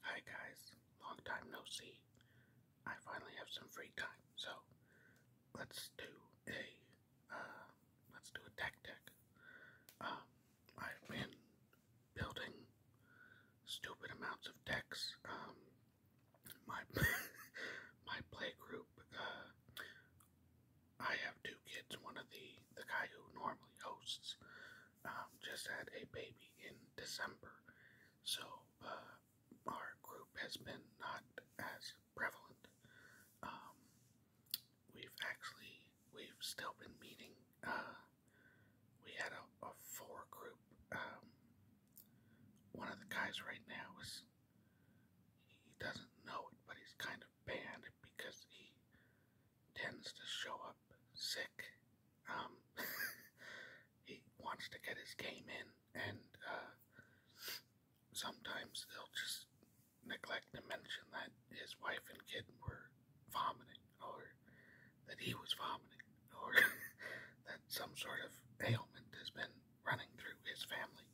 Hi guys, long time no see. I finally have some free time, so let's do a uh, let's do a tech deck. Um, I've been building stupid amounts of decks. Um, my my play group. Uh, I have two kids. One of the the guy who normally hosts um, just had a baby in December, so uh, our group has been not as prevalent. Um, we've actually we've still been meeting. Uh, we had a, a four group. Um, one of the guys right now is he doesn't know it, but he's kind of banned because he tends to show up sick. Um, he wants to get his game in, and uh, sometimes they'll just neglect to mention that his wife and kid were vomiting, or that he was vomiting, or that some sort of ailment has been running through his family.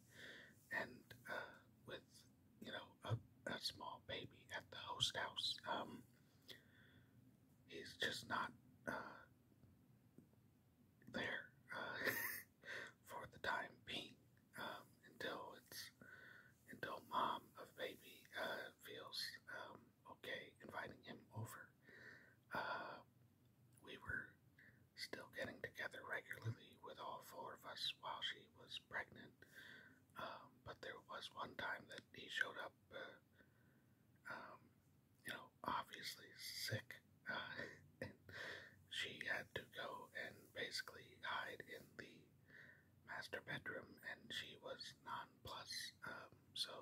And uh, with, you know, a, a small baby at the host house, um, he's just not uh, there uh, for the time being um, until it's until mom of baby uh, feels um, okay inviting him over. Uh, we were still getting together regularly with all four of us while she was pregnant. Um, but there was one time that he showed up, uh, um, you know, obviously sick, uh, and she had to go and basically hide in the master bedroom, and she was nonplussed. Um, so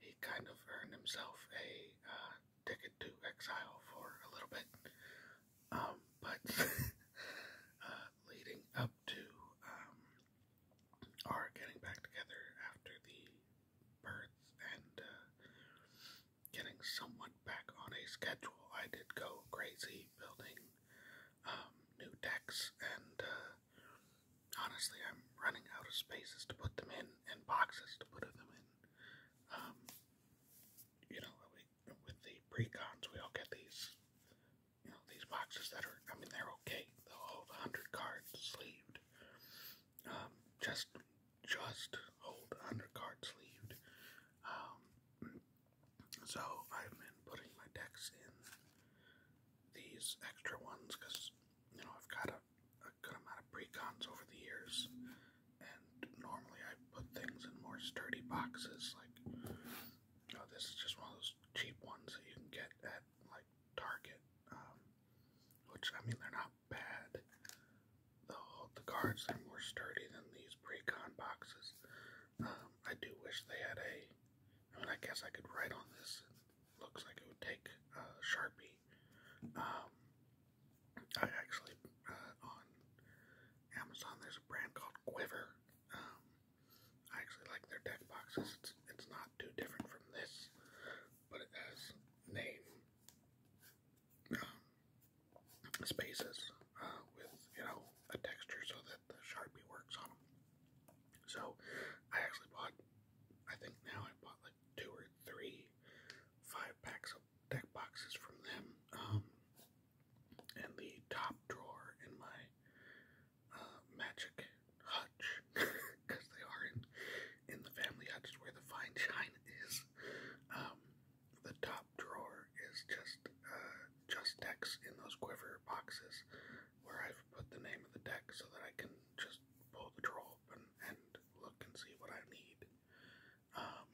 he kind of earned himself a uh, ticket to exile for a little bit. Um, but uh, leading up to um, are getting back together after the birth and uh, getting somewhat back on a schedule. I did go crazy building um, new decks, and uh, honestly, I'm running out of spaces to put them in and boxes to put them in. Um, you know, with the pre we all get these you know, these boxes that are, I mean, they're okay. They'll hold 100 cards sleeved. Um, just, just hold 100 cards sleeved. Um, so I've been putting my decks in these extra ones because, you know, I've got a, a good amount of precons over the years. And normally I put things in more sturdy boxes, like Oh, this is just one of those cheap ones that you can get at like Target. Um, which I mean, they're not bad. The the cards are more sturdy than these precon boxes. Um, I do wish they had a. I mean, I guess I could write on this. looks like it would take a sharpie. Um, I actually uh, on Amazon there's a brand called Quiver. I actually like their deck boxes. It's not too different from this, but it has name um, spaces uh, with you know a texture so that the Sharpie works on them. So I actually bought. I think now I bought like two or three five packs of deck boxes from them. Um, and the top drawer in my uh, magic hutch because they are in in the family hutch where the fine china is. Um, the top drawer is just uh, just decks in those quiver boxes where I've put the name of the deck so that I can just pull the drawer open and look and see what I need. Um,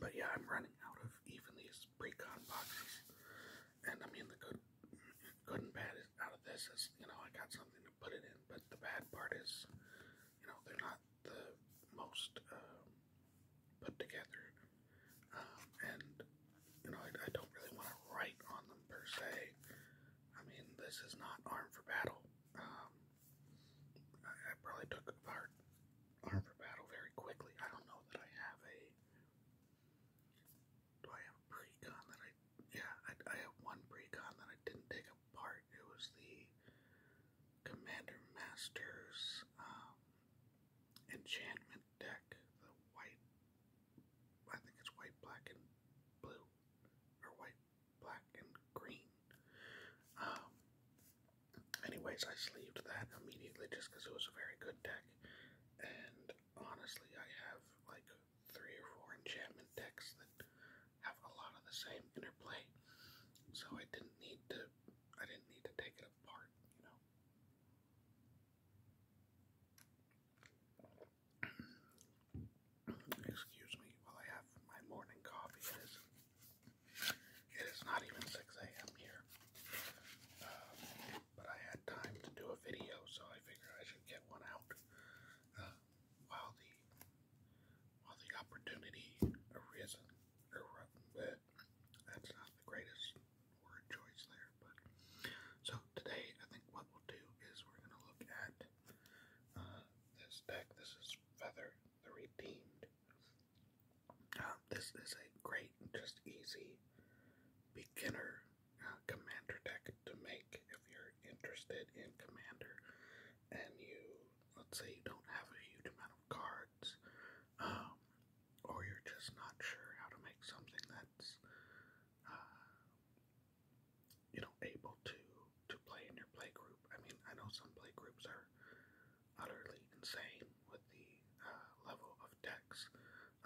but yeah, I'm running out of even these boxes, pre-con boxes, and I mean the good, good and bad out of this is you know I got something to put it in, but the bad part is you know they're not the most um, put together, um, and you know I, I don't really want to write on them per se. I mean this is not armed for battle. Um, I, I probably took apart armed for battle very quickly. I don't know that I have a do I have a pre that I... Yeah, I, I have one pre that I didn't take apart. It was the Commander Masters um, enchantment deck. The white... I think it's white, black, and blue. Or white, black, and green. Um, anyways, I sleeved that immediately just because it was a very good deck and honestly, I have like three or four enchantment decks that have a lot of the same interplay, so I didn't need to. I didn't need to take it apart, you know. Excuse me while I have my morning coffee. It is, it is not even 6 a.m. here. Um, but I had time to do a video, so I figured I should get one out uh, while the while the opportunity arisen. that's not the greatest word choice there, but so today I think what we'll do is we're gonna look at uh, this deck. This is Feather the Redeemed. Uh, this is a great, just easy beginner uh, commander deck to make if you're interested in commander and you, let's say, you don't have a huge amount of cards, um, or you're just not sure how to make something that's, uh, you know, able to to play in your play group. I mean, I know some play groups are utterly insane with the uh, level of decks.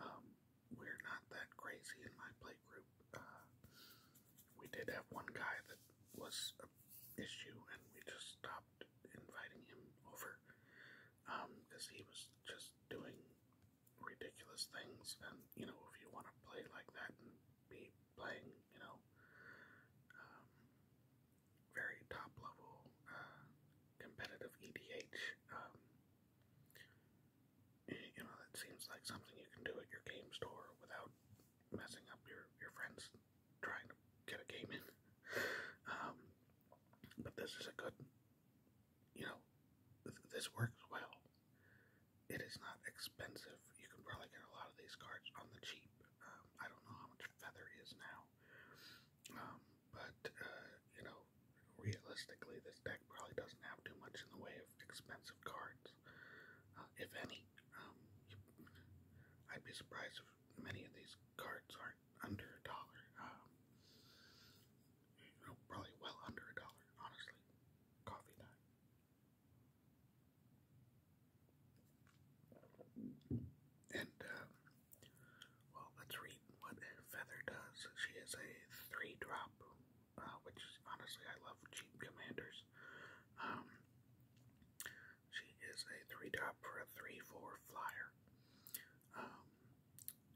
Um, we're not that crazy in my play group. Uh, we did have one guy that was an issue, and we just stopped inviting him over because um, he was just doing ridiculous things. And you know, if you want to play like that and be playing, you know, um, very top level uh, competitive EDH. Um, you know, that seems like something you can do at your game store without messing up your, your friends trying to get a game in. Um, but this is a good, you know, th this works well. It is not expensive. You can probably get a lot of these cards on the cheap. Um, I don't know how much Feather is now, um, but, uh, you know, realistically, this deck probably doesn't have too much in the way of expensive cards, uh, if any. Um, I'd be surprised if many of these cards are under a dollar. Um, you know, probably well under a dollar, honestly. Coffee time. And, uh, well, let's read what Feather does. She is a three drop, uh, which honestly I love cheap commanders. Um, she is a three drop for a three four flyer. Um,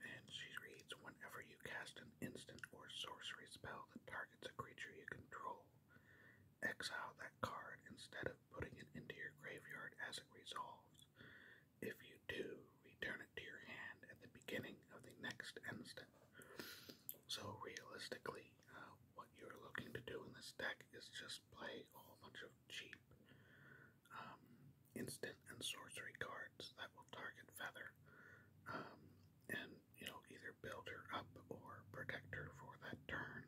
and she reads whenever you cast an instant or sorcery spell that targets a creature you control, exile that card instead of putting it into your graveyard as it resolves. If you do, return it to your hand at the beginning of the next instant. So realistically, uh, what you're looking to do in this deck is just play a whole bunch of cheap um, instant and sorcery cards that will target Feather, um, and you know either build her up or protect her for that turn,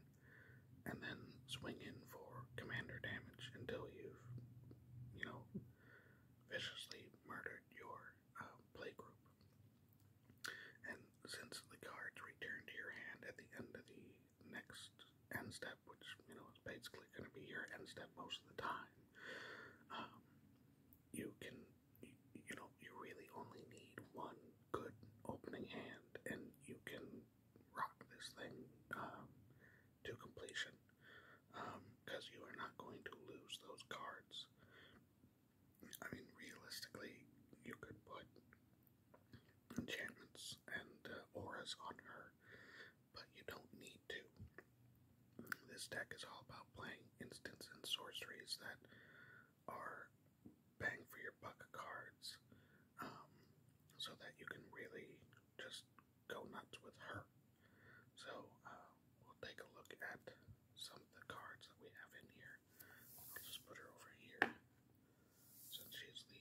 and then swing in for commander damage until you've you know, viciously murdered your uh, um, playgroup. And since the cards return to your hand at the end of the next end step, which, you know, is basically going to be your end step most of the time, um, you can, you know, you really only need one good opening hand, and you can rock this thing um, to completion because um, you are not going to lose those cards. I mean, realistically, you could put enchantments and uh, auras on her, but you don't need to. This deck is all about playing instants and sorceries that are bang for your buck cards um, so that you can really just go nuts with her. So uh, we'll take a look at some of the cards that we have in here. I'll just put her over here since she's the,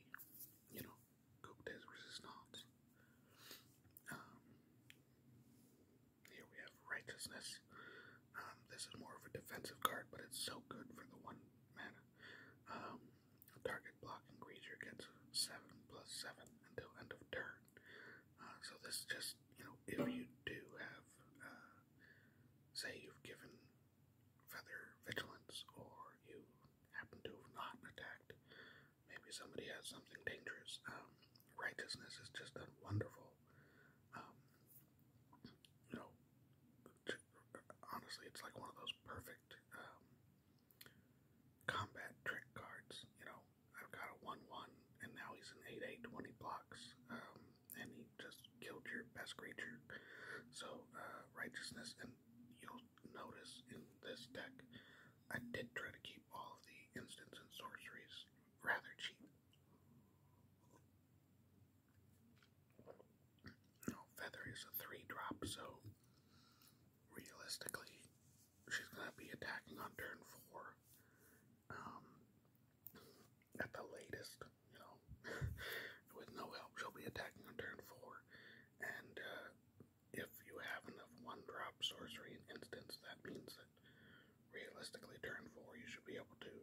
you know, Coupe des Resistance. Um, here we have Righteousness. Um, this is more of a defensive card, but it's so good for the one mana. Um, a target blocking creature gets 7 plus 7 until end of turn. Uh, so this just, you know, if you do have, uh, say you've given Feather Vigilance or you happen to have not attacked, maybe somebody has something dangerous. Um, righteousness is just a wonderful, um, you know, honestly, it's like one of those perfect um, combat trick cards. You know, I've got a 1 1, and now he's an 8 8 when he blocks, um, and he just killed your best creature. So, uh, righteousness, and you'll notice in this deck, I did try to keep all of the instants and sorceries rather cheap. No, Feather is a 3 drop, so realistically, she's going to be attacking on turn four. Um, at the latest, you know, with no help, she'll be attacking on turn four. And uh, if you have enough one drop sorcery and that means that realistically, turn four, you should be able to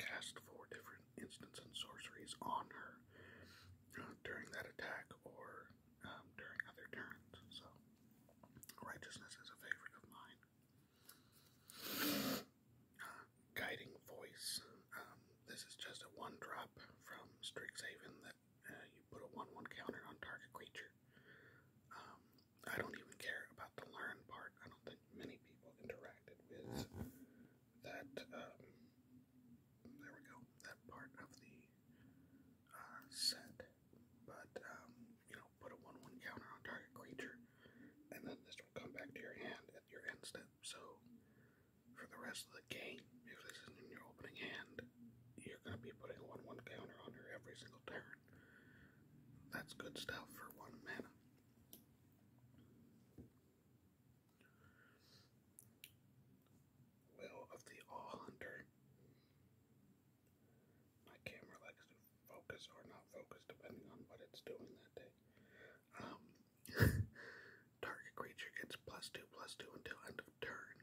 cast four different instants and sorceries on her uh, during that attack or um, during other turns. So, righteousness is a favorite of mine. guiding voice. Um, this is just a one drop from Strixhaven that uh, you put a one-one counter on target creature. Um, I don't even care about the learn part. I don't think many people interacted with that. Um, there we go. That part of the uh, set, but um, you know, put a one-one counter on target creature, and then this will come back to your hand at your end step. So for the rest of the game, if this is in your opening hand, you're gonna be putting one-one counter on her every single turn. That's good stuff for one mana. Will of the All Hunter. My camera likes to focus or not focus depending on what it's doing that day. Um, target creature gets plus two plus two until end of turn.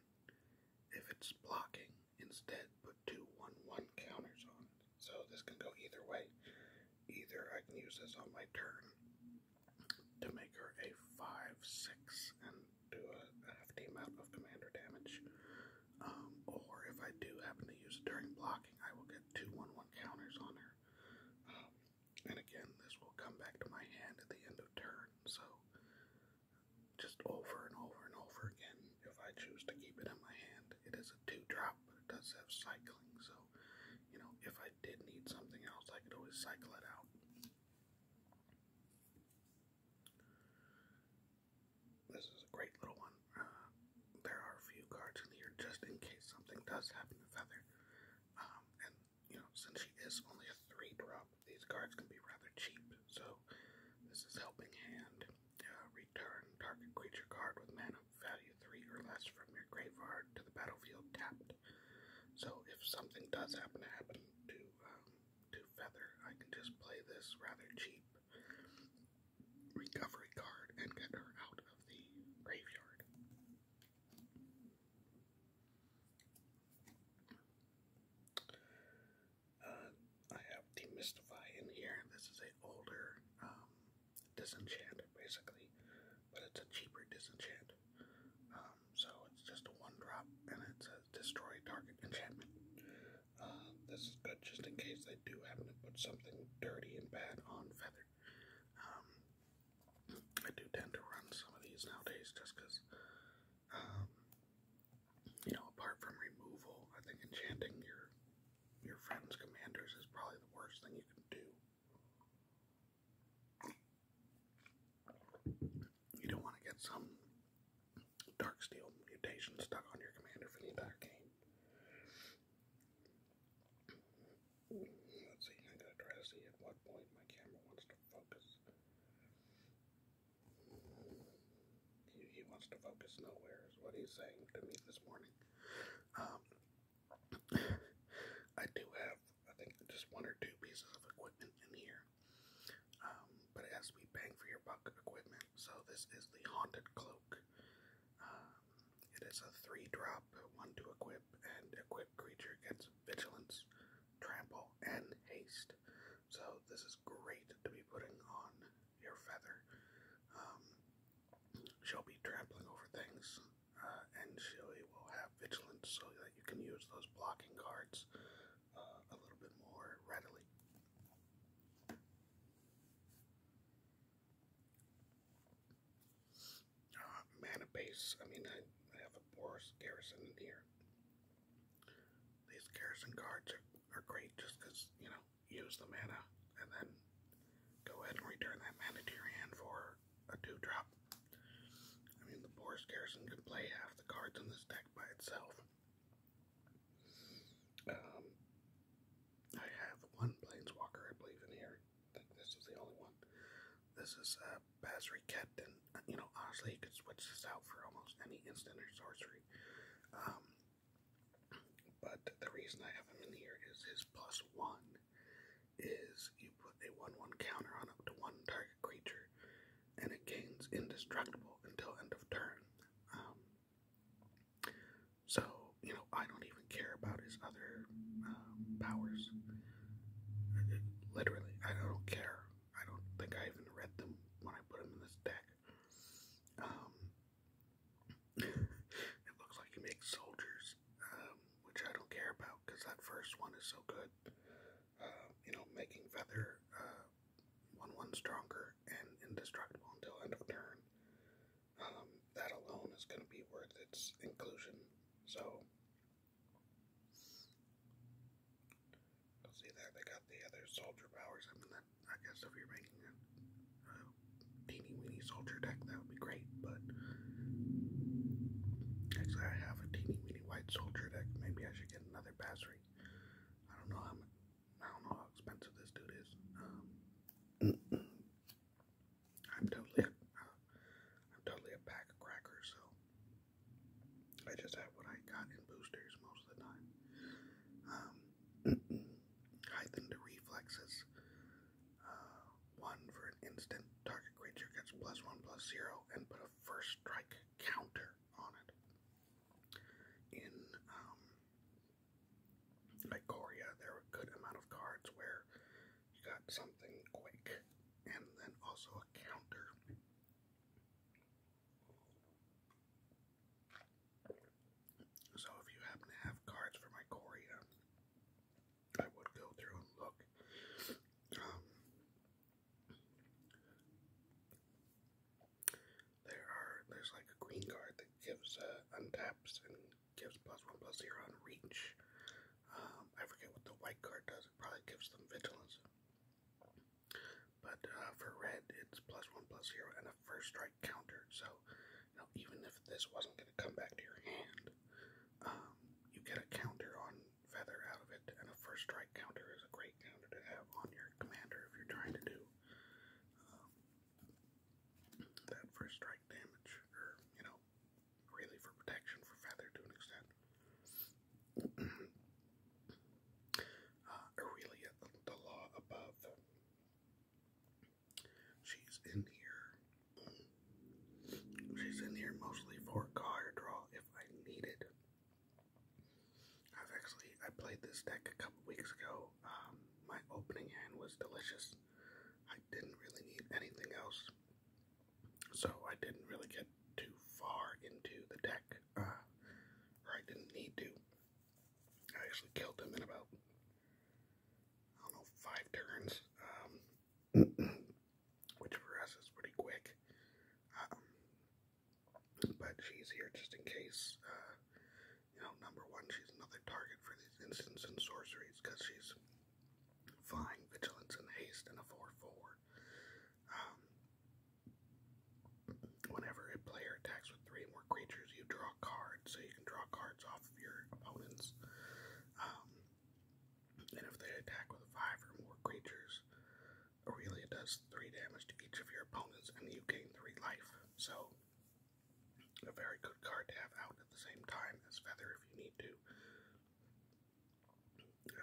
If it's blocking, instead put two one one counters on it. So this can go either way. Either I can use this on my turn to make her a 5-6 and do a, a hefty of commander damage. Um, or if I do happen to use it during blocking, I will get two 1 1 counters on her. Um, and again, this will come back to my hand at the end of turn, so just over and over and over again. If I choose to keep it in my hand, it is a two drop, but it does have cycling, so you know, if I did need something else, I could always cycle it out. This is a great little one. Uh, there are a few cards in here just in case something does happen to Feather. Um, and, you know, since she is only a three drop, these cards can be rather cheap. So, this is Helping Hand. Uh, return target creature card with mana value 3 or less from your graveyard to the battlefield tapped. So if something does happen to happen to um, to Feather, I can just play this rather cheap recovery card and get her out of the graveyard. Uh, I have Demystify in here. This is a older um, disenchant, basically, but it's a cheaper disenchant. Um, so it's just a one drop, and it says destroy target enchantment. Uh, this is good just in case they do happen to put something dirty and bad on Feather. Um, I do tend to run some of these nowadays just because, um, you know, apart from removal, I think enchanting your your friend's commanders is probably the worst thing you can do. You don't want to get some dark steel mutation stuck on your commander for the entire game. Let's see, I'm to try to see at what point my camera wants to focus. He, he wants to focus nowhere, is what he's saying to me this morning. Um, I do have. I think, just one or two pieces of equipment in here. Um, but it has bang for your buck equipment. So this is the Haunted Cloak. Um, it is a three drop, one to equip, and equipped creature gets vigilance, trample, and haste. So this is great to be putting on your feather. Um, she'll be trampling over things, uh, and she will have vigilant so that you can use those blocking cards uh, a little bit more readily. Uh, mana base. I mean, I, have a Boris Garrison in here. These Garrison cards are, are great just because, you know, use the mana and then go ahead and return that mana to your hand for a two I mean, the Boris Garrison can play half the cards in this deck by itself. Um, I have one Planeswalker, I believe, in here. I think this is the only one. This is a uh, Basri Captain. Uh, you know, honestly, you could switch this out for almost any instant or sorcery. Um, but the reason I have him in here is his plus one is you put a 1 1 counter on up to one target creature, and it gains indestructible until end of turn. Um, so, you know, I don't even care about his other um, powers. Literally, I don't care. I don't think I even read them when I put him in this deck. Um, it looks like he makes soldiers, which I don't care about because that first one is so good. Um, you know, making Feather uh, one one stronger and indestructible until end of turn. Um, that alone is going to be worth its inclusion. So see that they got the other soldier powers. I mean, I guess if you're making a teeny weeny soldier deck, that would be great. But actually, I have a teeny weeny White Soldier deck. Maybe I should get another battery. I don't know how I don't know how expensive this dude is. Um, I'm totally a, I'm totally a pack cracker, so I just have what I got in boosters most of the time. Um, heightened reflexes. Uh, one for an instant target creature gets plus one plus zero and put a first strike counter on it. In um, there were a good amount of cards where you got something quick and then also a counter. So if you happen to have cards from Ikoria I would go through and look. Um, there are there's like a green card that gives uh, untaps and gives plus one plus zero on reach. Um, I forget what the white card does. It probably gives them vigilance. But uh, for red, it's plus one plus zero and a first strike counter. So even if this wasn't going to come back to your hand, um, you get a counter on feather out of it, and a first strike counter is a great counter to have on your commander if you're trying to do um, that first strike damage, or, you know, really for protection for feather to an extent. Uh, Aurelia, the law above. She's in here. She's in here mostly for card draw if I need it. I've actually I played this deck a couple weeks ago. Um, my opening hand was delicious. I didn't really need anything else, so I didn't really get too far into the deck, uh, or I didn't need to. I actually killed him in about I don't know five turns. Um, which for us is pretty quick. Um, but she's here just in case. Uh, you know, number one, she's another target for these instants and sorceries because she's flying, vigilance, and haste, and a 4 4. Um, whenever a player attacks with three or more creatures, you draw cards, so you can draw cards off of your opponents. Um, and if they attack with five or more creatures, Aurelia does three damage to each of your opponents and you gain three life. So, a very good card to have out at the same time as Feather if you need to.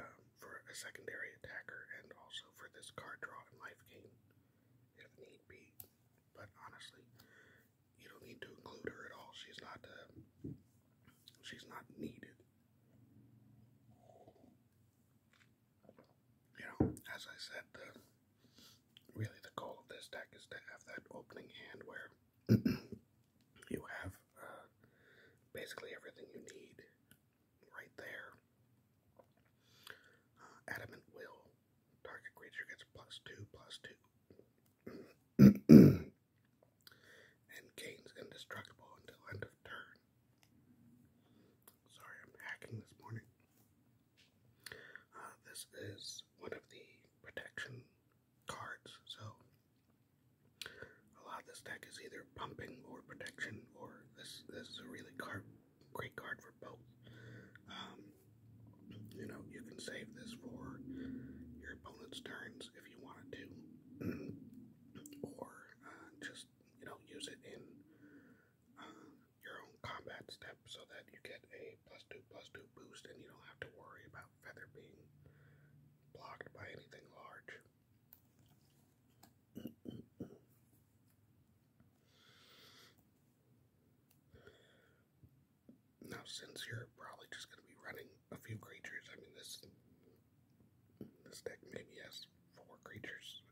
Um, for a secondary attacker and also for this card draw and life gain if need be. But honestly, you don't need to include her at all. She's not uh, she's not needed you know, as I said, really the goal of this deck is to have that opening hand where you have uh, basically everything you need right there. Uh, adamant will. Target creature gets plus two, plus two. and gains indestructible until end of turn. Sorry, I'm hacking this morning. Uh, this is one of the protection cards, so a lot of this deck is either pumping or protection, or this this is a really card, great card for both. Um, you know, you can save this for your opponent's turns if you wanted to. or uh, just you know use it in uh, your own combat step so that you get a plus two plus two boost and you don't have to worry about feather being blocked by anything large. now, since you're probably just going to be running a few creatures. I mean, this this deck maybe has four creatures.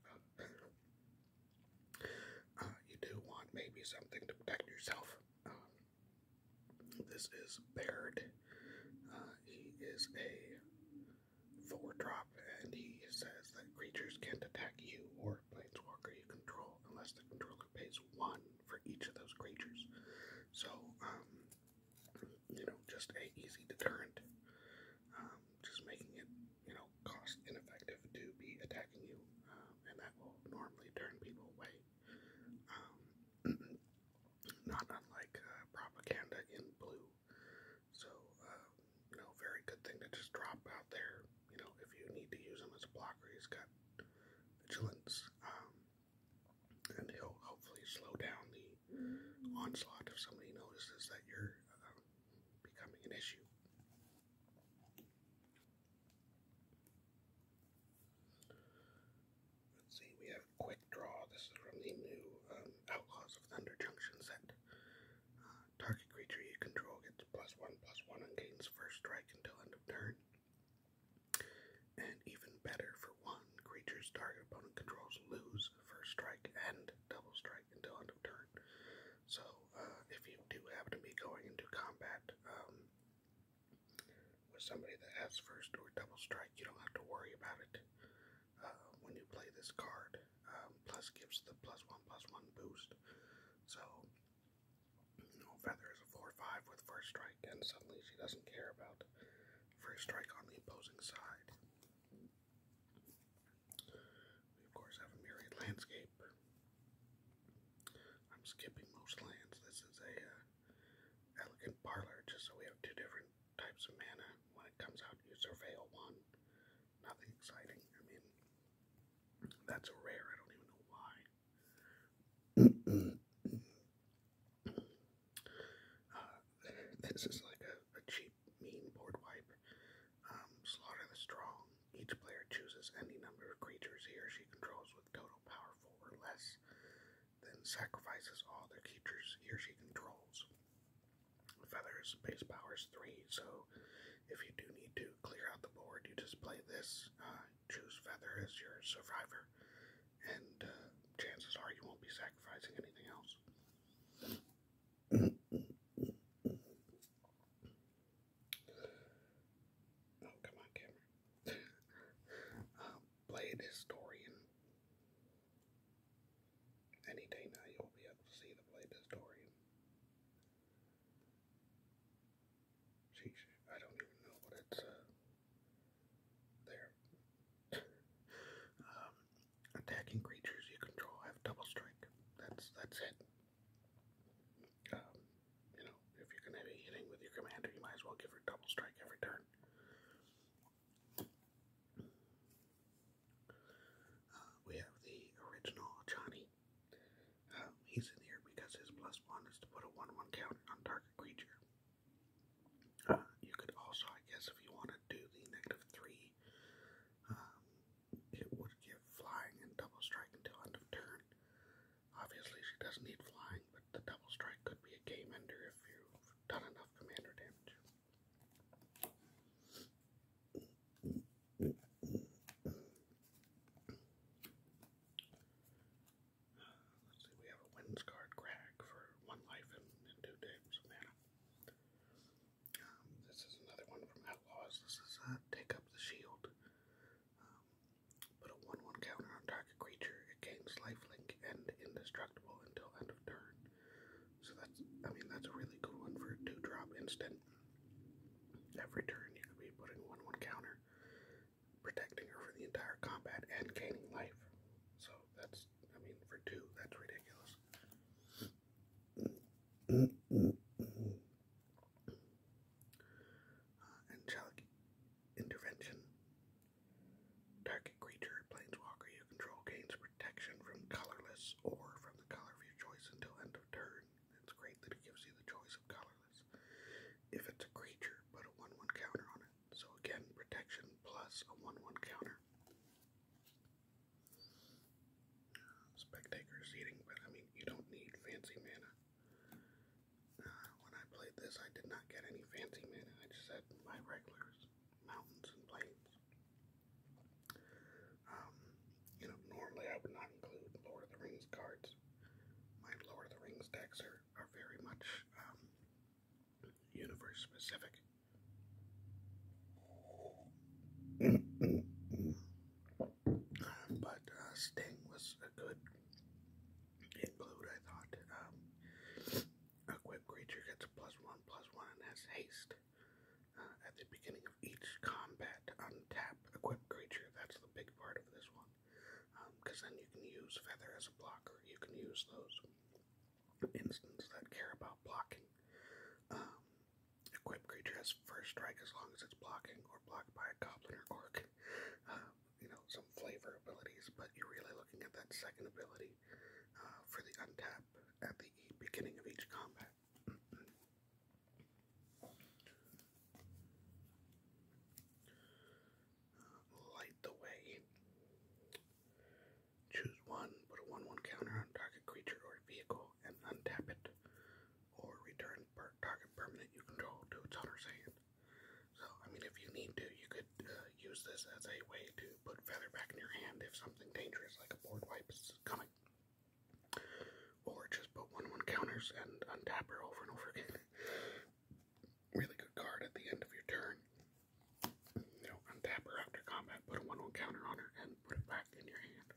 Uh, you do want maybe something to protect yourself. Um, this is Baird. Uh, he is a four drop, and he says that creatures can't attack you or planeswalker you control unless the controller pays one for each of those creatures. So, um, you know, just a easy deterrent. Um, just making it, you know, cost ineffective to be attacking you, um, and that will normally turn people away. Um, not unlike uh, propaganda in blue. So, um, you know, very good thing to just drop out there. You know, if you need to use them as a blocker, he's got vigilance. Um, and he'll hopefully slow down the onslaught if somebody notices that you're um, becoming an issue. Let's see, we have Quick Draw. This is from the new um, Outlaws of Thunder Junction set. Uh, target creature you control gets plus one, plus one, and gains first strike until end of turn. And even better, for one, creatures target opponent controls lose first strike and double strike until end of turn. So, uh, if you do happen to be going into combat um, with somebody that has first or double strike, you don't have to worry about it uh, when you play this card. Um, plus gives the plus one plus one boost. So, you Feather is a 4 5 with first strike, and suddenly she doesn't care about for strike on the opposing side. We, of course, have a myriad landscape. I'm skipping most lands. This is a uh, elegant parlor, just so we have two different types of mana. When it comes out, you surveil one. Nothing exciting. I mean, that's a rare. I don't even know why. Uh, this is like a, cheap, mean board wipe. Um, slaughter the strong. Each player chooses any number of creatures he or she controls with total power four or less, then sacrifices all the creatures he or she controls. Feathers base power is three, so if you do need to clear out the board, you just play this. Uh, choose Feathers as your survivor, and uh, chances are you won't be sacrificing anything else. oh, come on, camera. Blade uh, Historian. Any day now you'll be able to see the Blade Historian. Sheesh, I don't even know what it's, uh, there. Um, attacking creatures you control have double strike. That's that's it. Um, you know, if you're gonna be hitting with your commander, you might as well give her double strike every turn. Uh, we have the original Johnny. Um, he's in here because his plus one is to put a one-one counter on target creature. Uh, you could also, I guess, if you want to do the negative three, um, it would give flying and double strike until end of turn. Obviously, she doesn't need flying, but the double strike could be a game ender if you've done enough commander damage. Uh, let's see, we have a wins card Crag for one life and, and two days of mana. Um, this is another one from Outlaws. This is uh, Take Up the Shield. Um, put a 1 1 counter on target creature. It gains lifelink and indestructible until end of turn. So that's, I mean, that's a really good one for a 2 drop instant. Every turn you could be putting 1 1 counter protecting her for the entire combat and gaining life. So that's, I mean, for two, that's ridiculous. Uh, angelic intervention. Target creature, planeswalker you control gains protection from colorless or from the color of your choice until end of turn. It's great that it gives you the choice of colorless. If it's a creature, put a 1 1 counter on it. So again, protection plus a 1 1 counter. Uh, Spectacular's but I mean, you don't need fancy mana. Uh, when I played this, I did not get any fancy mana, I just had my regulars, mountains, and plains. Um, you know, normally I would not include Lord of the Rings cards. My Lord of the Rings decks are, are very much um, universe specific. but uh, Sting was a good include, I thought. Um, equipped creature gets a plus one, plus one, and has haste. Uh, at the beginning of each combat, untap equipped creature. That's the big part of this one because um, then you can use Feather as a blocker. You can use those instants that care about blocking. Um, equip creature has first strike as long as it's blocking or blocked by a goblin or orc. Uh, you know, some flavor abilities, but you're really looking at that second ability uh, for the untap at the beginning of each combat. Light the Way. Choose one, put a 1 1 counter on target creature or vehicle, and untap it. Or return target permanent you control to its owner's hand. So, I mean, if you need to, you could uh, use this as a way to put Feather back in your hand if something dangerous like a board wipe is coming. Or just put 1 1 counters and untap her over and over again. really good card at the end of your turn. You know, untap her after combat, put a 1 1 counter on her, and put it back in your hand.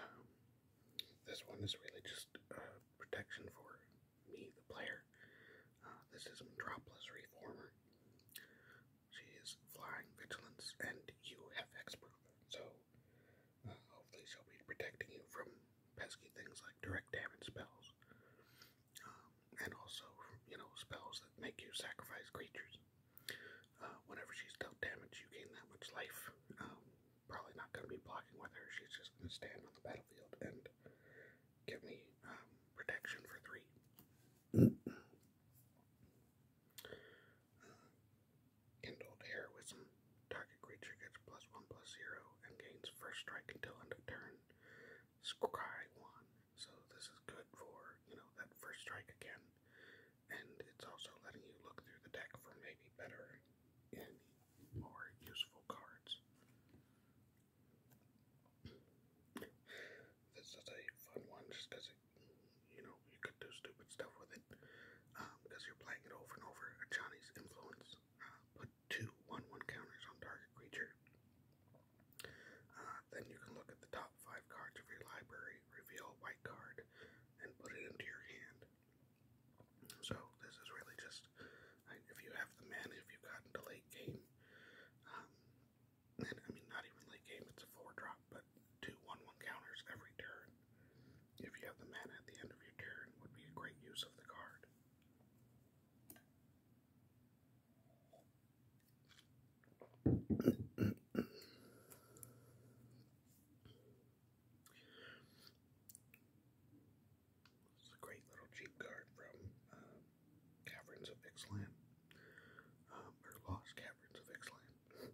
Um, this one is really just uh, protection for me, the player. Uh, this is Metropolis Reformer. She is flying vigilance, and you have hexproof, so uh, hopefully, she'll be protecting you from pesky things like direct damage spells, um, and also you know spells that make you sacrifice creatures. Uh, whenever she's dealt damage, you gain that much life. Um, probably not going to be blocking with her. She's just going to stand on the battlefield and give me um, protection for three. Uh, Kindled Heroism. Target creature gets plus one plus zero and gains first strike until end of turn. Scry one. So this is good for, you know, that first strike again. And it's also letting you look through the deck for maybe better and more useful cards. This is a fun one just because you know, you could do stupid stuff with it. Um, because you're playing it over and over. Chinese influence. Put two 1 counters on target creature. Uh, then you can look at the top five cards of your library, reveal a white card, and put it into your hand. So, this is really just if you have the mana, if you've gotten to late game, um, I mean, not even late game, it's a four drop, but two counters every turn. If you have the mana at the end of your turn, would be a great use of the card. It's a great little cheap card from uh, Caverns of Ixalan, um, or Lost Caverns of Ixalan.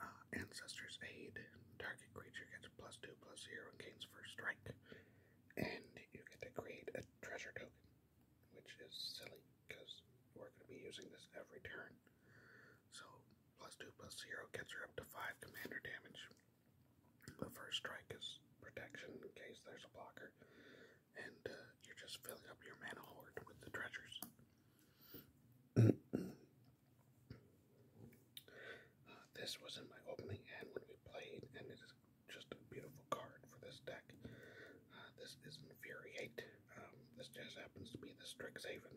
Uh, Ancestor's Aid. Target creature gets plus 2, plus 0, and gains first strike. And you get to create a treasure token, which is silly because we're going to be using this every turn. So, plus 2, plus 0 gets her up to 5 commander damage. The first strike is protection in case there's a blocker, and uh, you're just filling up your mana horde with the treasures. this was in my opening hand when we played, and it is just a beautiful card for this deck. Uh, this is Infuriate. Um, this just happens to be the Strixhaven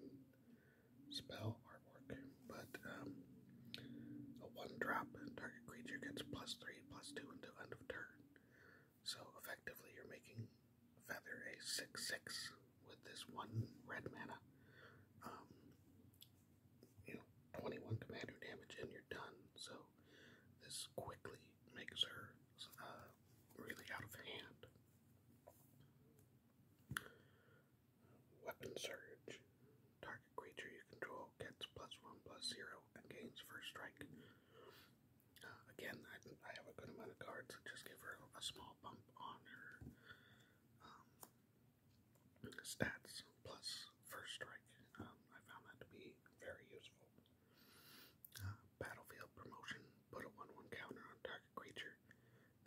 spell artwork, but um, a one drop target creature gets plus three, plus two into end of turn. So effectively, you're making Feather a 6 6 with this one red mana um, you know, 21 commander damage and you're done. So this quickly makes her uh, really out of hand. Weapon Surge. Target creature you control gets plus one plus zero and gains first strike. Uh, again, I, I have a good amount of cards that just give her a small bump on her um, stats plus first strike. Um, I found that to be very useful. Uh, battlefield promotion. Put a 1 1 counter on target creature.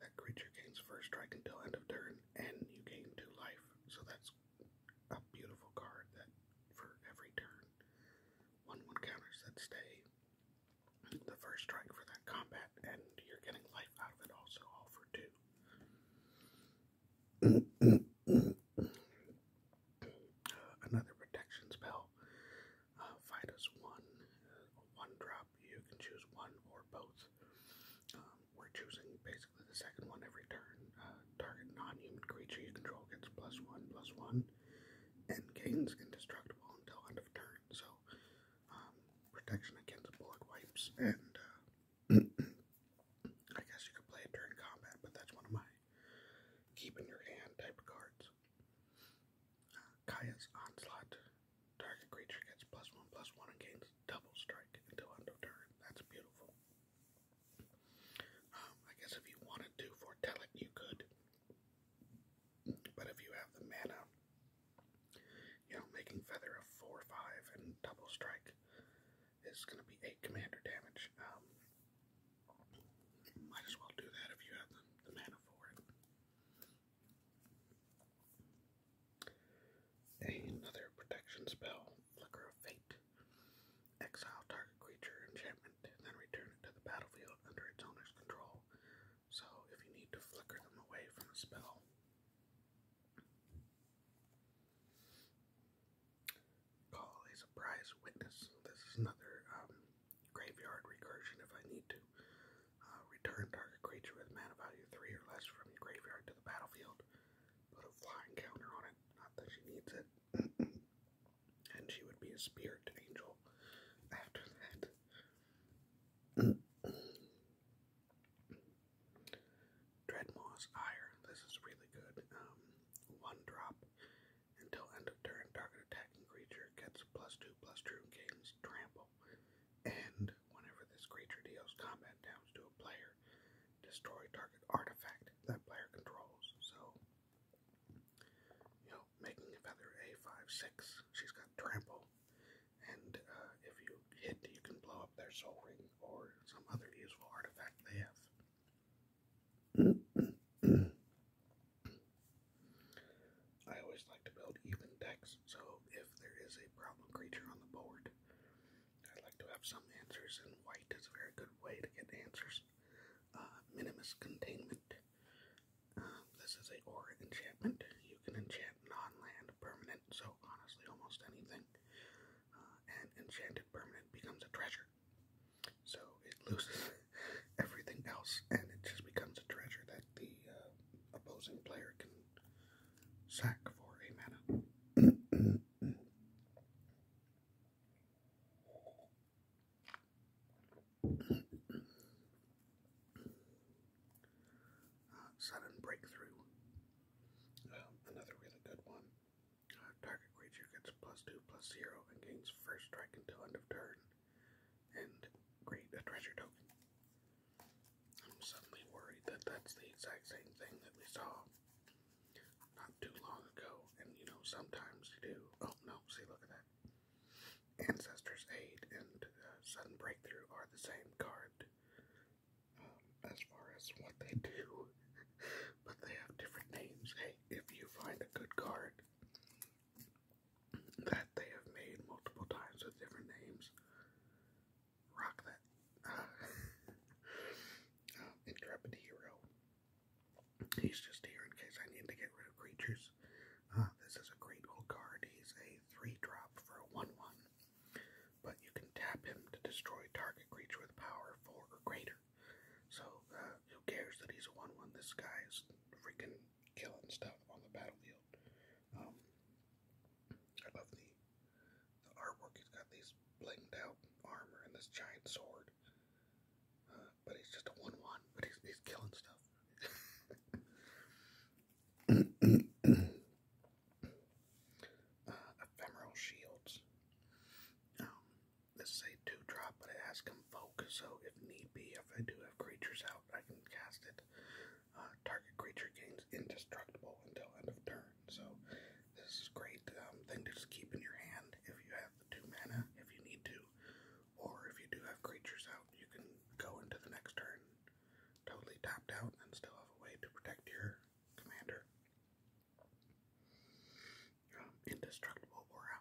That creature gains first strike until end of turn, and you gain 2 life. So that's a beautiful card that for every turn. 1 1 counters that stay the first strike for that combat, and you're getting life out of it also, all for two. another protection spell. Uh, fight one, one drop. You can choose one or both. Um, we're choosing basically the second one every turn. Uh, target non-human creature you control gets plus one, plus one, and gains indestructible until end of turn. So um, protection against bullet wipes, and uh, I guess you could play it during combat, but that's one of my keep your hand type cards. Uh, Kaya's Onslaught. Target creature gets plus one plus one and gains double strike until end of turn. That's beautiful. Um, I guess if you wanted to foretell it, you could. But if you have the mana you know, making Feather a 4-5 and double strike is going to be 8 commander damage. Um, might as well do that if you have the mana for it. Another protection spell, Flicker of Fate. Exile target creature enchantment, and then return it to the battlefield under its owner's control so if you need to flicker them away from a spell, call a surprise witness. This is another um, graveyard recursion. If I need to uh, return target creature with mana value three or less from graveyard to the battlefield, put a flying counter on it. Not that she needs it. and she would be a spirit angel after that. Dreadmoss Ire. This is really good. Um, one drop until end of turn. Target attacking creature gets plus two plus two and gains trample. And whenever this creature deals combat damage to a player, destroy target artifact that player controls. So, you know, making a feather a five six. She's got trample and uh, if you hit, you can blow up their soul ring or some other useful artifact they have. I always like to build even decks, so if there is a problem creature on the board, I like to have some answers, and white is a very good way to get answers. Uh, minimus containment this is a aura enchantment. You can enchant non-land permanent, so honestly almost anything. Uh, an enchanted permanent becomes a treasure. So it loses everything else, and it just becomes a treasure that the uh, opposing player can sack for a mana sudden breakthrough. Um, another really good one. Uh, target creature gets plus two, plus zero, and gains first strike until end of turn. And create a treasure token. I'm suddenly worried that that's the exact same thing that we saw not too long ago. And you know, sometimes you do. Oh no! See, look at that. Ancestors Aid and uh, Sudden Breakthrough are the same card um, as far as what they do, but they have different names. Hey, if you find a good card that they have made multiple times with different names, rock that. Um, Intrepid Hero. He's just here in case I need to get rid of creatures. Uh, this is a great old card. He's a 3 drop for a 1 1. But you can tap him to destroy target creature with power 4 or greater. So, uh, who cares that he's a 1 1? This guy is freaking killing stuff on the battlefield. Um, I love the, the artwork. He's got these blinged out armor and this giant sword. Uh, but he's just a 1 1, but he's, he's killing stuff. ephemeral shields. Um, this is a two drop, but it has convoke, so if need be, if I do have creatures out, I can cast it. Uh, target creature gains indestructible until end of turn. So this is a great um, thing to just keep in your hand if you have the two mana, if you need to, or if you do have creatures out, you can go into the next turn totally tapped out and still have a way to protect your commander. Um, indestructible aura.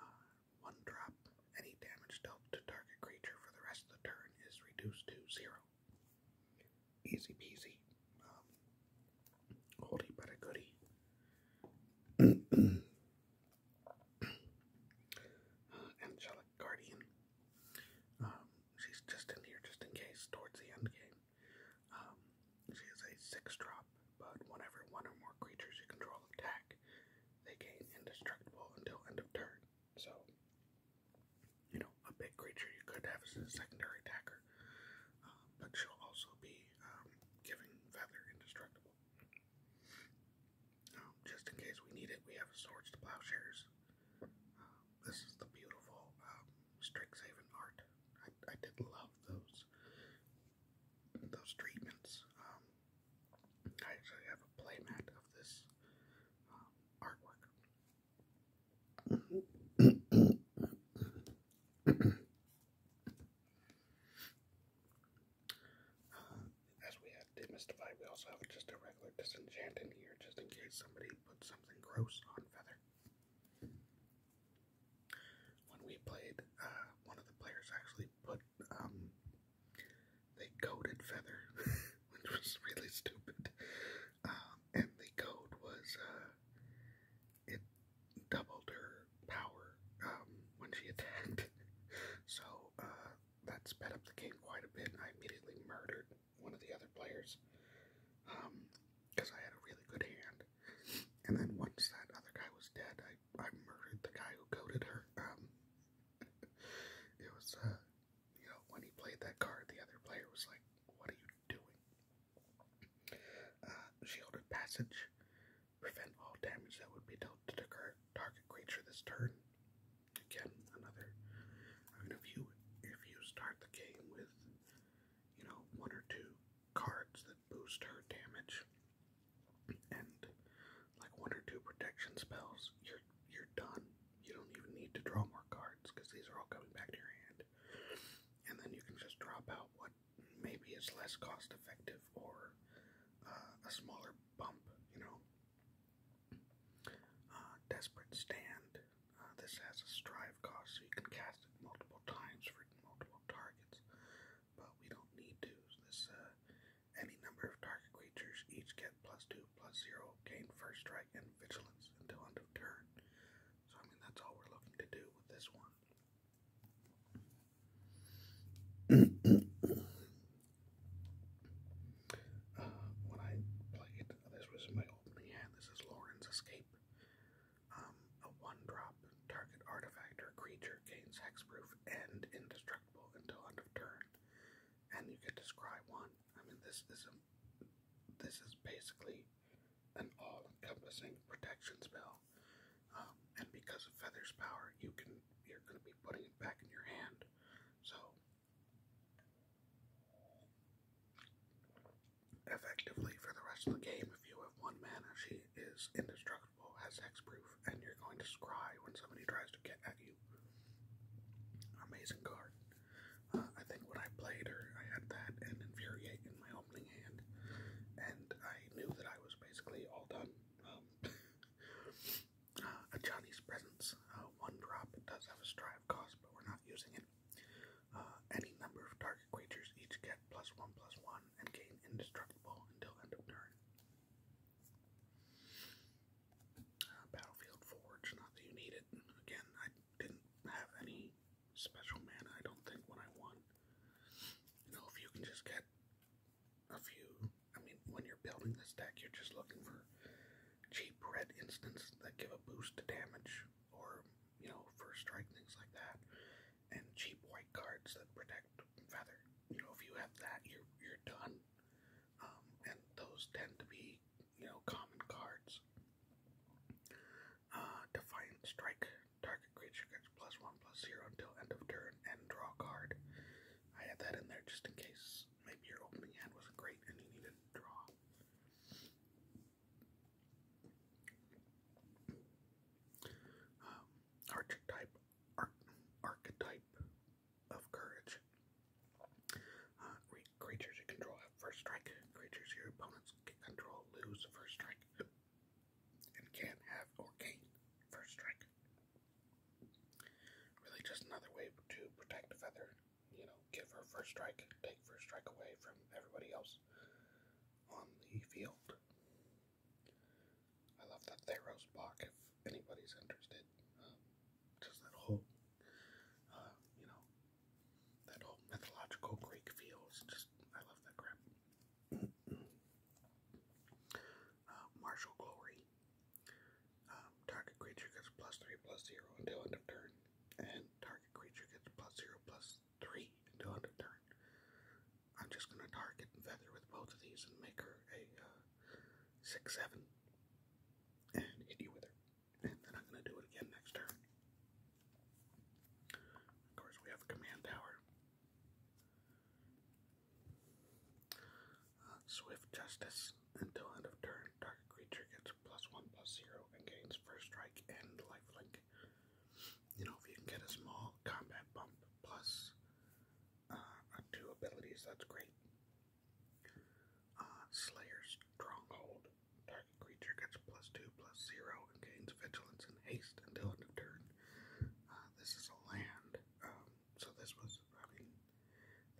Uh, one drop. Any damage dealt to target creature for the rest of the turn is reduced to zero. Easy peasy. Um, but a goodie. angelic guardian. Um, she's just in here just in case towards the end game. Um, she is a six drop, but whenever one or more creatures you control attack, they gain indestructible until end of turn. So, you know, a big creature you could have as a secondary attacker, uh, but she'll also be um, giving Feather indestructible. Um, just in case we need it, we have swords to plowshares. Uh, this is the beautiful um, Strixhaven art. I, did love those those treatments. I actually have a playmat of this um, artwork as we had demystify, we also have just a regular disenchant in here, just in case somebody put something gross on Feather. When we played, uh, one of the players actually put, um, they coded Feather, which was really stupid. Um, and the code was, uh, it doubled her power, um, when she attacked. so, uh, that sped up the game quite a bit, I immediately murdered one of the other players because um, I had a really good hand. And then once that other guy was dead, I, I murdered the guy who coded her. Um, it was, uh, you know, when he played that card, the other player was like, What are you doing? Uh, shielded passage. Prevent all damage that would be dealt to the target creature this turn again, another. I mean, if you if you start the game with, you know, one or two cards that boost her damage, and like one or two protection spells, you're you're done. You don't even need to draw more cards because these are all coming back to your hand, and then you can just drop out what maybe it's less cost effective or uh, a smaller bump. You know, uh, desperate Stand. Uh, this has a strive cost, so you can cast it multiple times for multiple targets, but we don't need to. This uh, any number of target creatures each get plus two, plus zero, gain first strike and vigilance until end of turn. So I mean that's all we're looking to do with this one. when I played, this was my opening hand. This is Lauren's Escape. Um, a one-drop target artifact or creature gains hexproof and indestructible until end of turn, and you can describe one. I mean, this is a, this is basically an all-encompassing protection spell, um, and because of Feather's power, you can you're going to be putting it back in your hand so effectively for the rest of the game, if you have one mana, she is indestructible, has hexproof, and you're going to scry when somebody tries to get at you. Amazing card. Uh, I think when I played her, I had that and Infuriate in my opening hand, and I knew that I was basically all done. Um, a Johnny's Presence. Uh, one drop. does have a strive cost, but we're not using it. Uh, any number of target creatures each get plus one plus one and gain indestructible until end of turn. Uh, Battlefield Forge, not that you need it. Again, I didn't have any special mana, I don't think, when I won. You know, if you can just get a few. I mean, when you're building this deck, you're just looking for cheap red instants that give a boost to damage or, you know, first strike, things like that. And cheap white cards that protect Feather. You know, if you have that, you're, you're done. Um, and those tend to be, you know, common cards. Uh, Defiant Strike. Target creature gets plus one, plus zero until end of turn and draw a card. I had that in there just in case maybe your opening hand wasn't great and you needed to draw. Um, archetype, arch, archetype of courage. Uh, creatures you control have first strike. Creatures your opponents control lose first strike, and can have or gain first strike. Really, just another way to protect Feather. You know, give her first strike, take first strike away from everybody else on the field. I love that Theros block if anybody's interested. Um, just that whole, uh, you know, that whole mythological Greek feels. Just, I love that crap uh, Glory. Um, target creature gets plus 3 plus 0 until end of turn, and target creature gets plus 0 plus 3 until end of turn. I'm just going to target Feather with both of these and make her a 6-7 uh, and hit you with her. And then I'm going to do it again next turn. Of course, we have command tower swift Justice. Until end of turn, target creature gets plus one plus zero and gains first strike and lifelink. You know, if you can get a small combat bump uh, two abilities, that's great. Uh, Slayer's Stronghold. Target creature gets plus two plus zero and gains vigilance and haste until end of turn. Uh, this is a land. Um, so this was, I mean,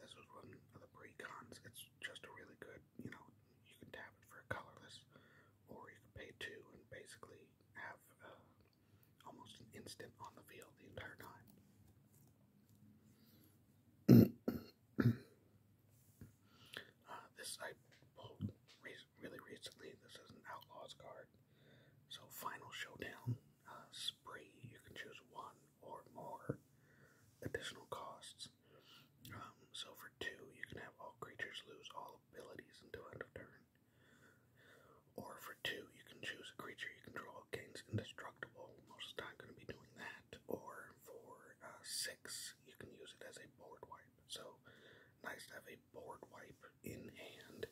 this was one of the pre-cons. It's just a really good, you know, you can tap it for colorless, or you can pay two and basically have uh, almost an instant on the field the entire time. Uh, this I pulled really recently. This is an Outlaws card. So, Final Showdown spray. You can choose one or more additional costs. Um, so for two, you can have all creatures lose all abilities until end of turn. Or for two, you can choose a creature you control gains indestructible. Most of the time, going to be doing that. Or for uh, six, you can use it as a board wipe. So nice to have a board wipe in hand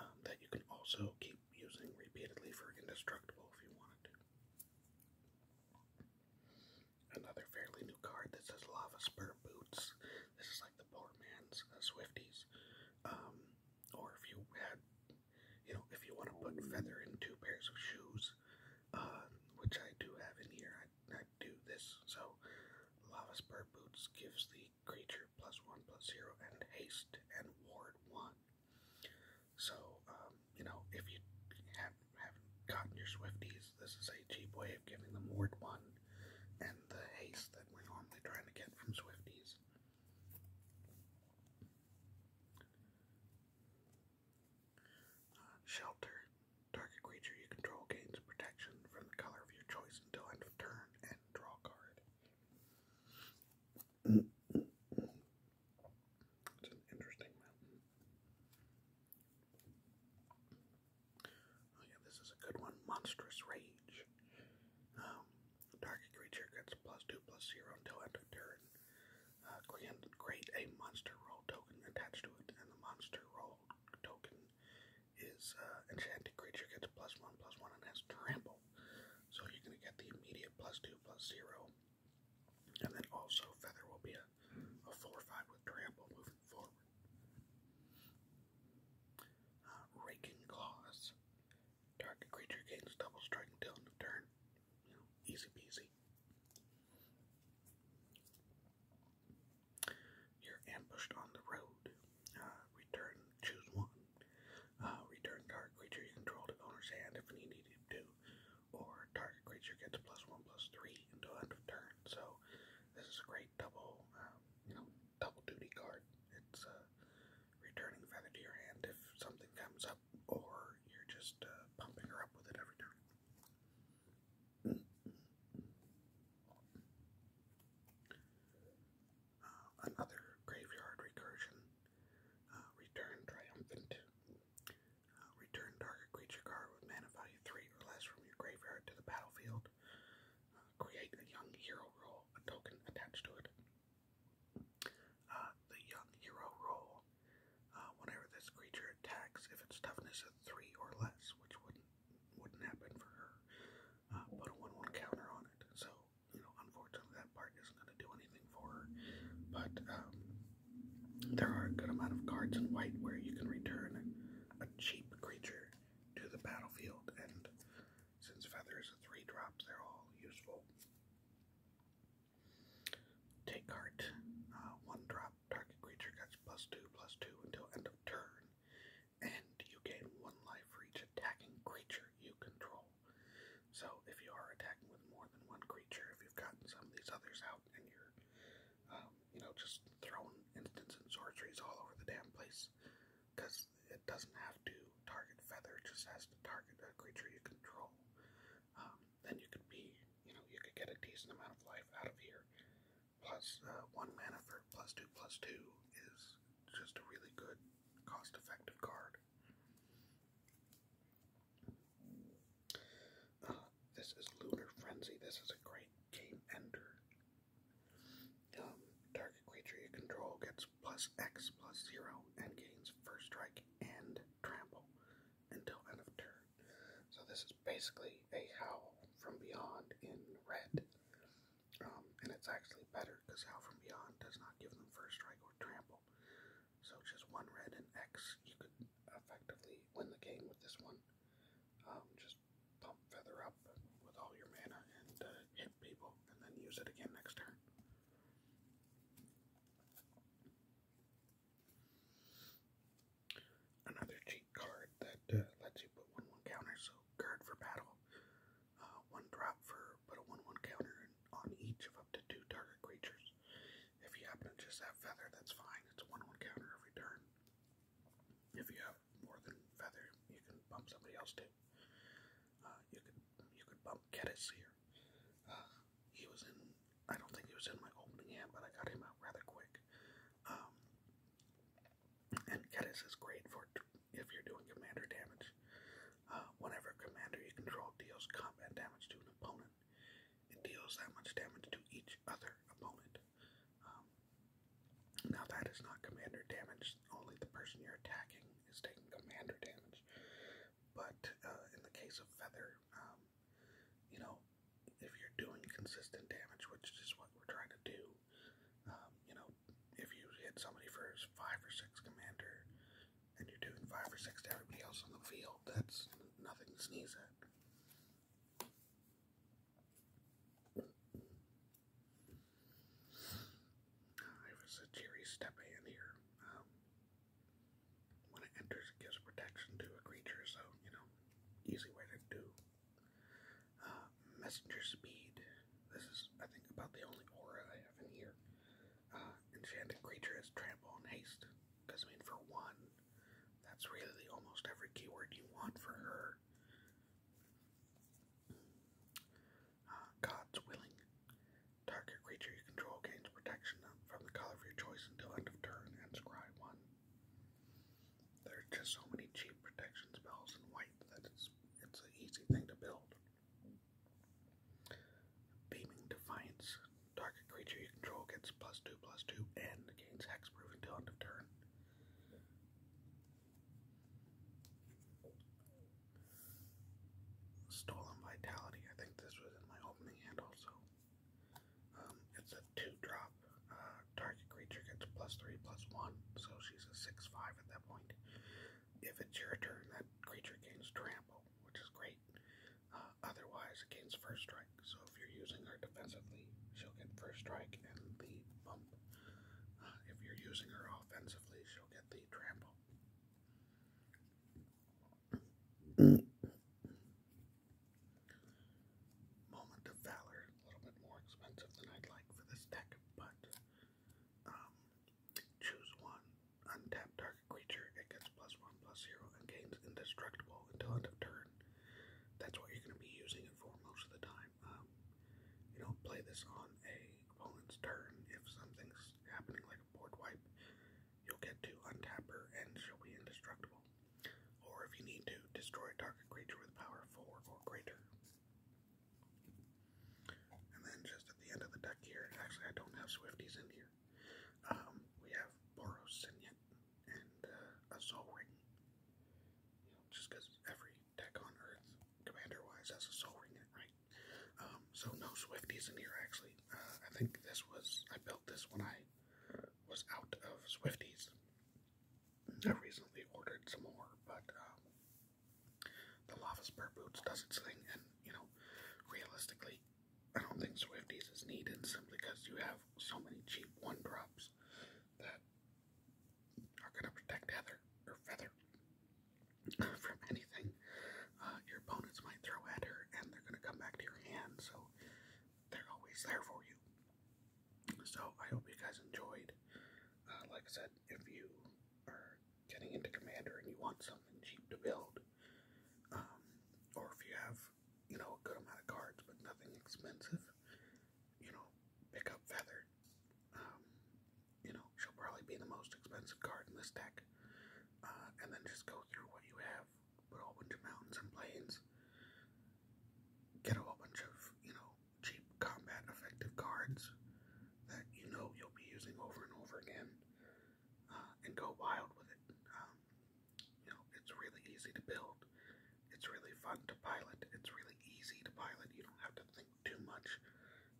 um, that you can also keep using repeatedly for indestructible if you wanted to. Another fairly new card that says Lava Spur Boots. This is like the poor man's uh, Swifties. Um, or if you had, you know, if you want to put feather in two pairs of shoes, uh, which I do have in here, I, I do this. So, Lava Spur Boots gives the creature plus one plus zero and haste and ward one. So, um, you know, if you have, have gotten your Swifties, this is a cheap way of giving them ward one and the haste that we're normally trying to get from Swifties. Uh, shelter. Target creature you control gains protection from the color of your choice until end of turn and draw card. It's an interesting mountain. yeah, this is a good one. Monstrous Rage. Dark uh, creature gets plus two plus zero until end of turn. Uh, create a monster roll token attached to it, and the monster roll token is uh, enchanted creature gets plus one plus one and has trample. So you're going to get the immediate plus 2 plus 0. And then also, Feather will be a 4-5 a with Trample moving forward. Uh, raking Claws. Target creature gains double strike until end of turn. easy peasy. You're ambushed on the road. Uh, return Choose one. Uh, return target creature you control to owner's hand if you needed to, or target creature gets plus one plus three until end of turn. So this is a great double, um, you know, double duty card. It's uh, returning feather to your hand if something comes up, or you're just uh, pumping her up with it every turn another graveyard recursion. Uh, return triumphant. Uh, return target creature card with mana value 3 or less from your graveyard to the battlefield. Uh, create a young hero roll, a token attached to it. the young hero roll. whenever this creature attacks, if its toughness is 3 or less, which wouldn't wouldn't happen for her, put a 1 1 counter on it. So you know, unfortunately, that part isn't going to do anything for her. But um, there are a good amount of cards in white where you can return a cheap creature to the battlefield, and since Feather is a three drop, they're all useful. Take heart, uh, one drop, target creature gets plus two, plus two until end of turn, and you gain one life for each attacking creature you control. So if you are attacking with more than one creature, if you've gotten some of these others out and you're, um, you know, just throwing instants and sorceries all over the damn place, because it doesn't have to target feather, it just has to target a creature you control. Um, then you could be, you know, you could get a decent amount of life out of here. Plus, uh, one mana for plus two plus two is just a really good, cost-effective card. Oh, this is Lunar Frenzy. This is a great game ender. Um, target control gets plus X plus zero and gains first strike and trample until end of turn. So this is basically a howl from beyond in red. Um, and it's actually better because Out From Beyond does not give them first strike or trample. So just one red and X, you could effectively win the game with this one. Um, just pump Feather up with all your mana and uh, hit people, and then use it again next turn. Another cheat card that uh, lets you put 1 1 counters, so Guard for Battle uh, one drop for put a one-one counter on each of up to two target creatures. If you happen to just have feather, that's fine. It's a one-one counter every turn. If you have more than feather, you can bump somebody else too. Uh, you could you could bump Geddes here. Uh, he was in. I don't think he was in my opening hand, but I got him out rather quick. Um, and Geddes is great for if you're doing commander damage. Uh, whenever commander you control deals combat damage to an opponent, it deals that much damage to each other opponent. Um, now, that is not commander damage, only the person you're attacking is taking commander damage. But uh, in the case of Feather, um, you know, if you're doing consistent damage, which is what we're trying to do, um, you know, if you hit somebody for five or six commander and you're doing five or six to everybody else on the field, that's nothing to sneeze at. It was a cheery step in here. Um, when it enters, it gives protection to a creature, so, you know, easy way to do. Uh, messenger speed this is, I think, about the only aura I have in here. Uh, enchanted creature is trample and haste. Because, I mean, for one, that's really almost every keyword you want for her. Uh, God's willing. Target creature you control gains protection from the color of your choice until end of turn and scry one. There are just so many cheap protection spells in white that it's it's an easy thing to build. Beaming Defiance. Target creature you control gets plus two plus two and gains hexproof until end of turn. Stolen Vitality. I think this was in my opening hand also. Um, it's a two drop. Uh, target creature gets plus three plus one, so she's a six five at that point. If it's your turn, that creature gains trample, which is great. Uh, otherwise, it gains first strike. So if you're using her defensively, she'll get first strike and the bump. Uh, if you're using her offensively, she'll get the trample. Moment of Valor, a little bit more expensive than I'd like for this deck, but um, choose one untapped target creature. It gets plus one plus zero and gains indestructible until end of turn. That's what you're going to be using it for most of the time. Um, you know, play this on a opponent's turn. If something's happening like a board wipe, you'll get to untap her and she'll be indestructible. Or if you need to, destroy a target creature with power four or greater. And then just at the end of the deck here, actually I don't have Swifties in here. Um, we have Boros Signet and uh, a Soul Ring. just because every deck on Earth, commander-wise, has a Soul Ring in it, right? Um, so no Swifties in here actually. Uh, I think this was I built this when I was out of Swifties. I recently ordered some more, but um, the Lava Spur Boots does its thing, and you know, realistically, I don't think Swifties is needed simply because you have so many cheap one drops that are going to protect Heather or Feather uh, from anything uh, your opponents might throw at her, and they're going to come back to your hand, so they're always there for you. So, I hope you guys enjoyed. Uh, like I said, if you are getting into Commander and you want something cheap to build, um, or if you have, you know, a good amount of cards but nothing expensive, you know, pick up Feather. Um, you know, she'll probably be the most expensive card in this deck. Uh, and then just go through what you have, put a bunch of mountains and plains, get a whole bunch of, you know, cheap combat effective cards, that you know you'll be using over and over again uh, and go wild with it. Um, you know, it's really easy to build, it's really fun to pilot, it's really easy to pilot. You don't have to think too much.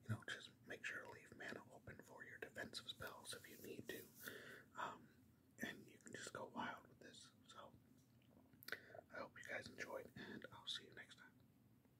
You know, just make sure to leave mana open for your defensive spells if you need to. Um, and you can just go wild with this. So, I hope you guys enjoyed, and I'll see you next time.